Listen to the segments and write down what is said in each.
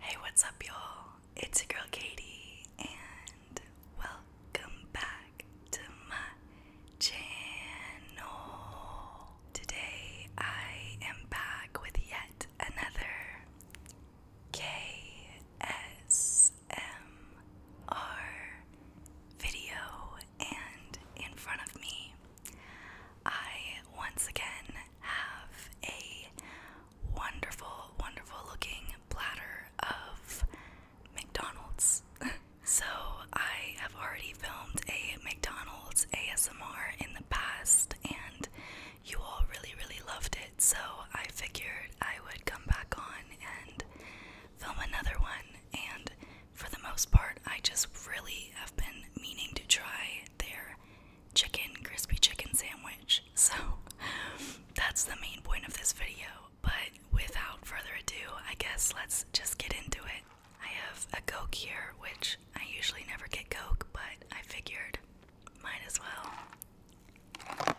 hey, what's up, y'all? It's your girl Katie, and welcome back to my channel. Today, I am back with yet another KS. ASMR video, and in front of me, I once again have a wonderful, wonderful looking platter of McDonald's. so, I have already filmed a McDonald's ASMR in the past, and you all really, really loved it. So, I figured I would come back on and film another one. And for the most part, I just really have been meaning to try their chicken, crispy chicken sandwich. So that's the main point of this video. But without further ado, I guess let's just get into it. I have a Coke here, which I usually never get Coke, but I figured might as well.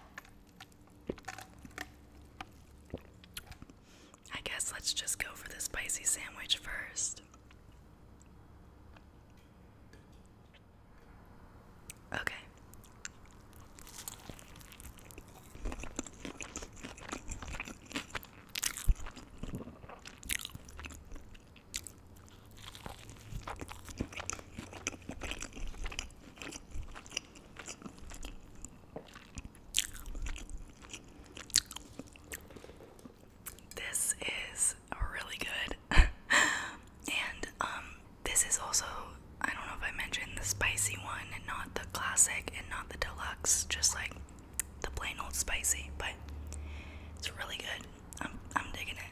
I guess let's just go for the spicy sandwich first. Okay. This is really good. and um this is also I don't know if I mentioned the spicy one and not the classic and not the deluxe, just like the plain old spicy, but it's really good. I'm I'm digging it.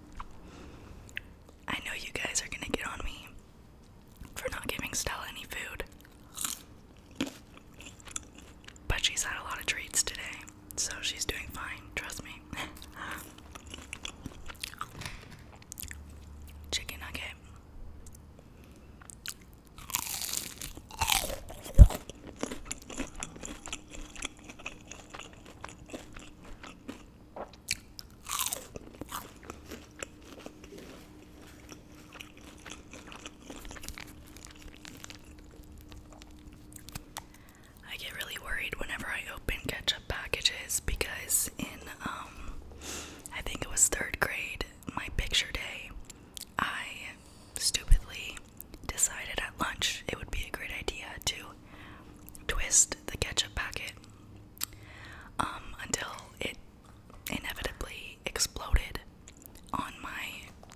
I know you guys are gonna get on me for not giving Stella any food. But she's had a lot of treats today, so she's doing fine, trust me. Chicken nugget. I get really worried whenever I open ketchup packages because in um I think it was 3rd grade, my picture day, I stupidly decided at lunch it would be a great idea to twist the ketchup packet um, until it inevitably exploded on my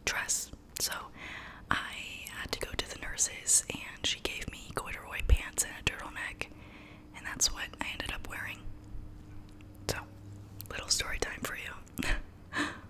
dress. So I had to go to the nurses, and she gave me corduroy pants and a turtleneck, and that's what I ended up wearing. So, little story time for you.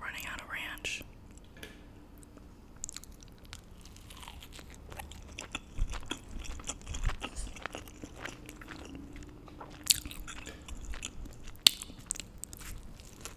Running out of ranch.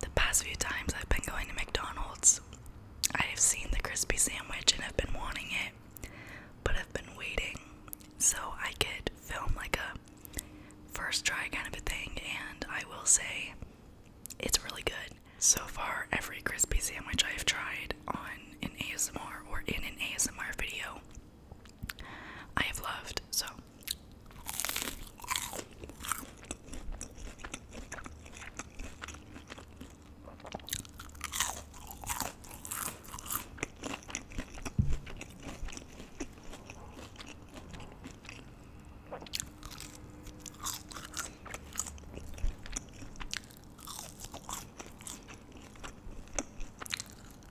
The past few times I've been going to McDonald's, I have seen the crispy sandwich and have been wanting it, but I've been waiting so I could film like a first try kind of a thing, and I will say it's really good. So far, every crispy sandwich I have tried on an ASMR or in an ASMR video I have loved. So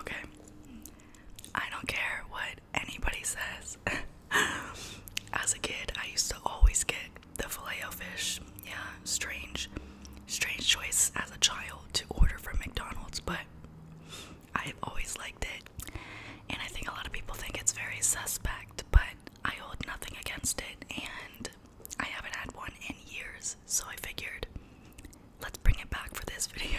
Okay. I don't care what anybody says. As a kid, I used to always get the filet o fish. Yeah, strange. Strange choice as a child to order from McDonald's, but I've always liked it. And I think a lot of people think it's very suspect, but I hold nothing against it, and I haven't had one in years, so I figured let's bring it back for this video.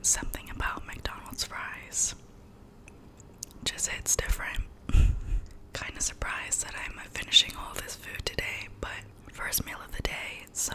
Something about McDonald's fries just hits different. kind of surprised that I'm finishing all this food today, but first meal of the day, so.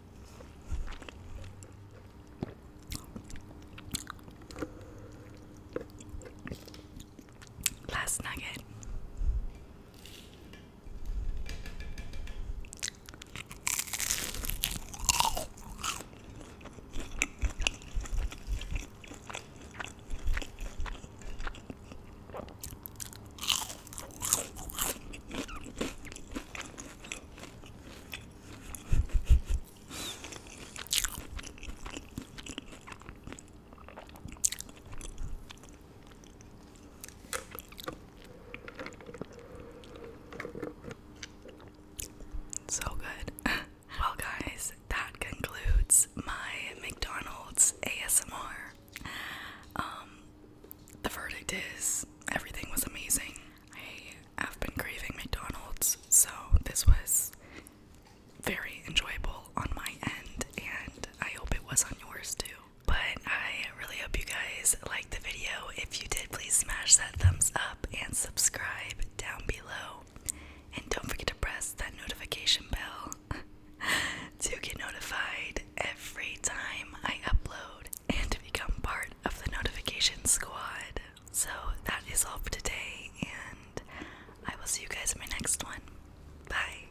Last nugget. So good. well, guys, that concludes my McDonald's ASMR. Um, the verdict is everything was amazing. I have been craving McDonald's, so this was very enjoyable on my end, and I hope it was on yours too. But I really hope you guys liked the video. If you did, please smash that thumbs up and subscribe down below. And don't forget to press that notification bell to get notified every time I upload and to become part of the notification squad. So that is all for today, and I will see you guys in my next one. Bye.